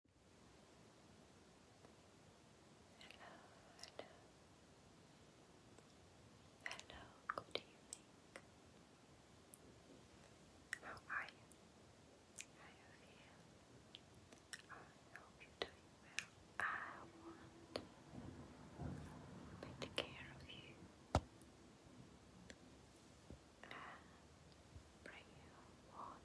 Hello, hello. Hello, good evening. How are you? How do you feel? I hope you're doing well. I want to take care of you and bring you wonderful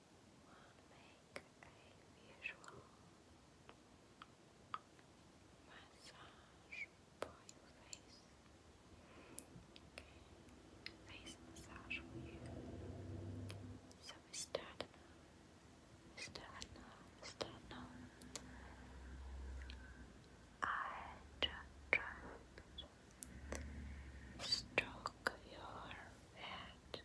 will make a visual massage for face. face massage for you. So we start I just stroke your head.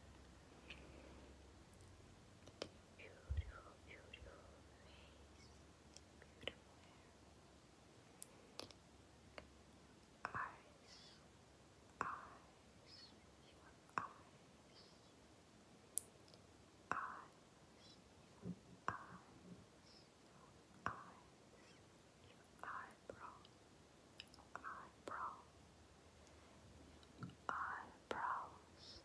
Beautiful, beautiful face, beautiful hair, eyes, eyes, eyes, eyes, eyes, eyes, your eyebrow, your eyebrow, brows,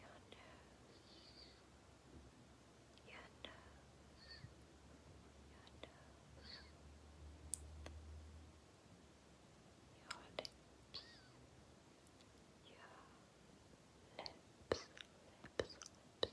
your nose, your nose, your nose, your lips, your lips, lips, lips.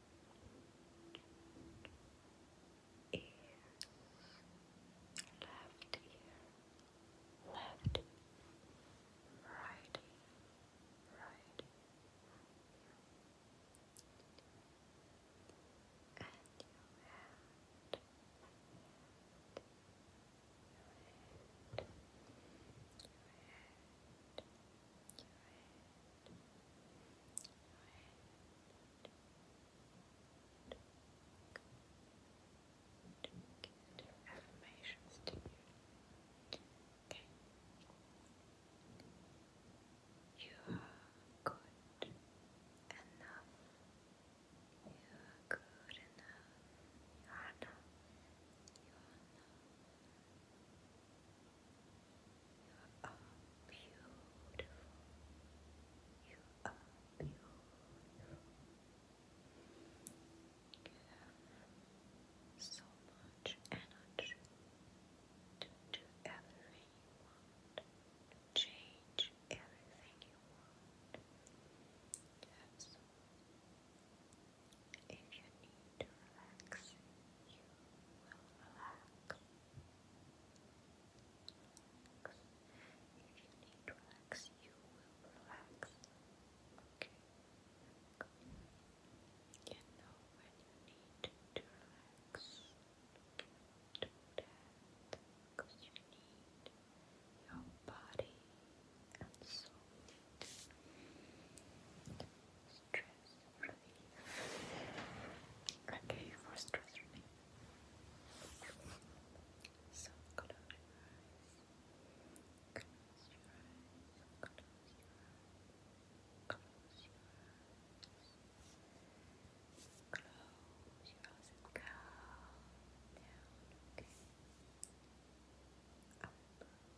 ear, left ear, left, right ear, right ear, and your hand. Your hand, your hand, your hand, affirmations you. are good enough. You are good enough. You are enough. You are enough. You you are beautiful. You are beautiful. You have so much energy to do everything you want, change everything you want. You if you need to relax, you will relax. If you need to relax, you will relax. You know when you need to relax. because you need your body and soul stress relief. Okay, for stress relief. close your eyes. Close your eyes. Close your eyes. Close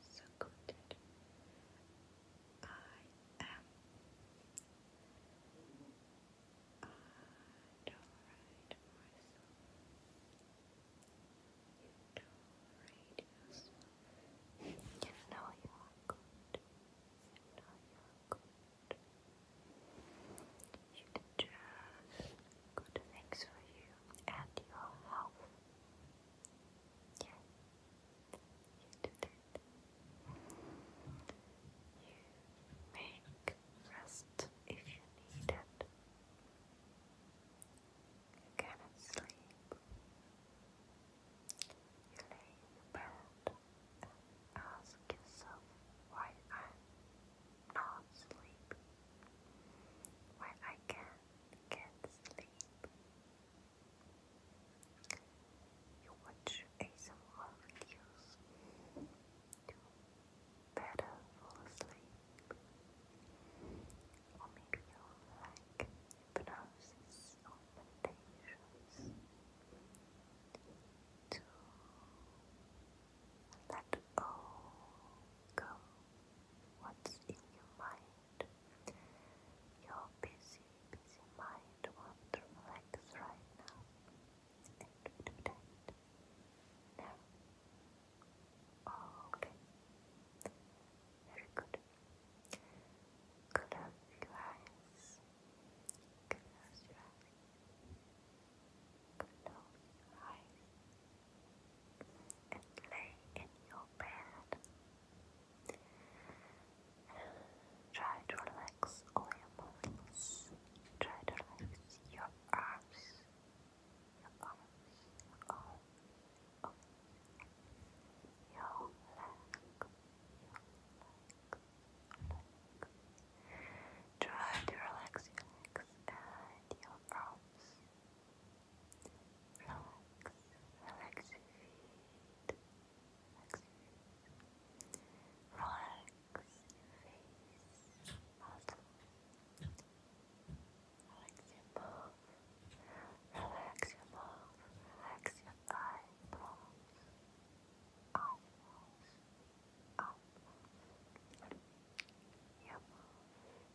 so good. I am adorate myself. Adorate yourself. You know you are good. You know you are good. You did good things for you and your health. Yeah. You do that. You make rest if you need it. You cannot sleep. You lay bed and ask yourself why I'm not sleepy. Why I can can't sleep. You watch ASMR videos to better fall asleep. Or maybe you like hypnosis or to let all go what's in your mind. Your busy, busy mind won't right now. Oh, okay. Very good. Close your eyes. Close your eyes. Close your eyes and lay in your bed. Try to relax all your muscles. Try to relax your arms, your arms. Your legs, your legs, legs. Try to relax your legs and your arms. Relax, relax your feet, relax your feet, relax your face, muscle, relax your mouth, relax your mouth, relax your eyebrows, eyebrows, eyebrows, your mouth.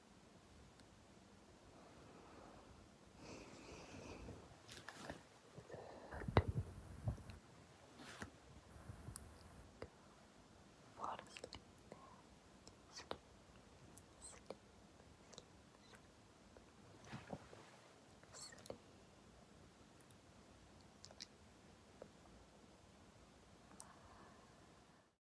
Fall asleep now. Sleep, sleep, sleep, sleep. sleep.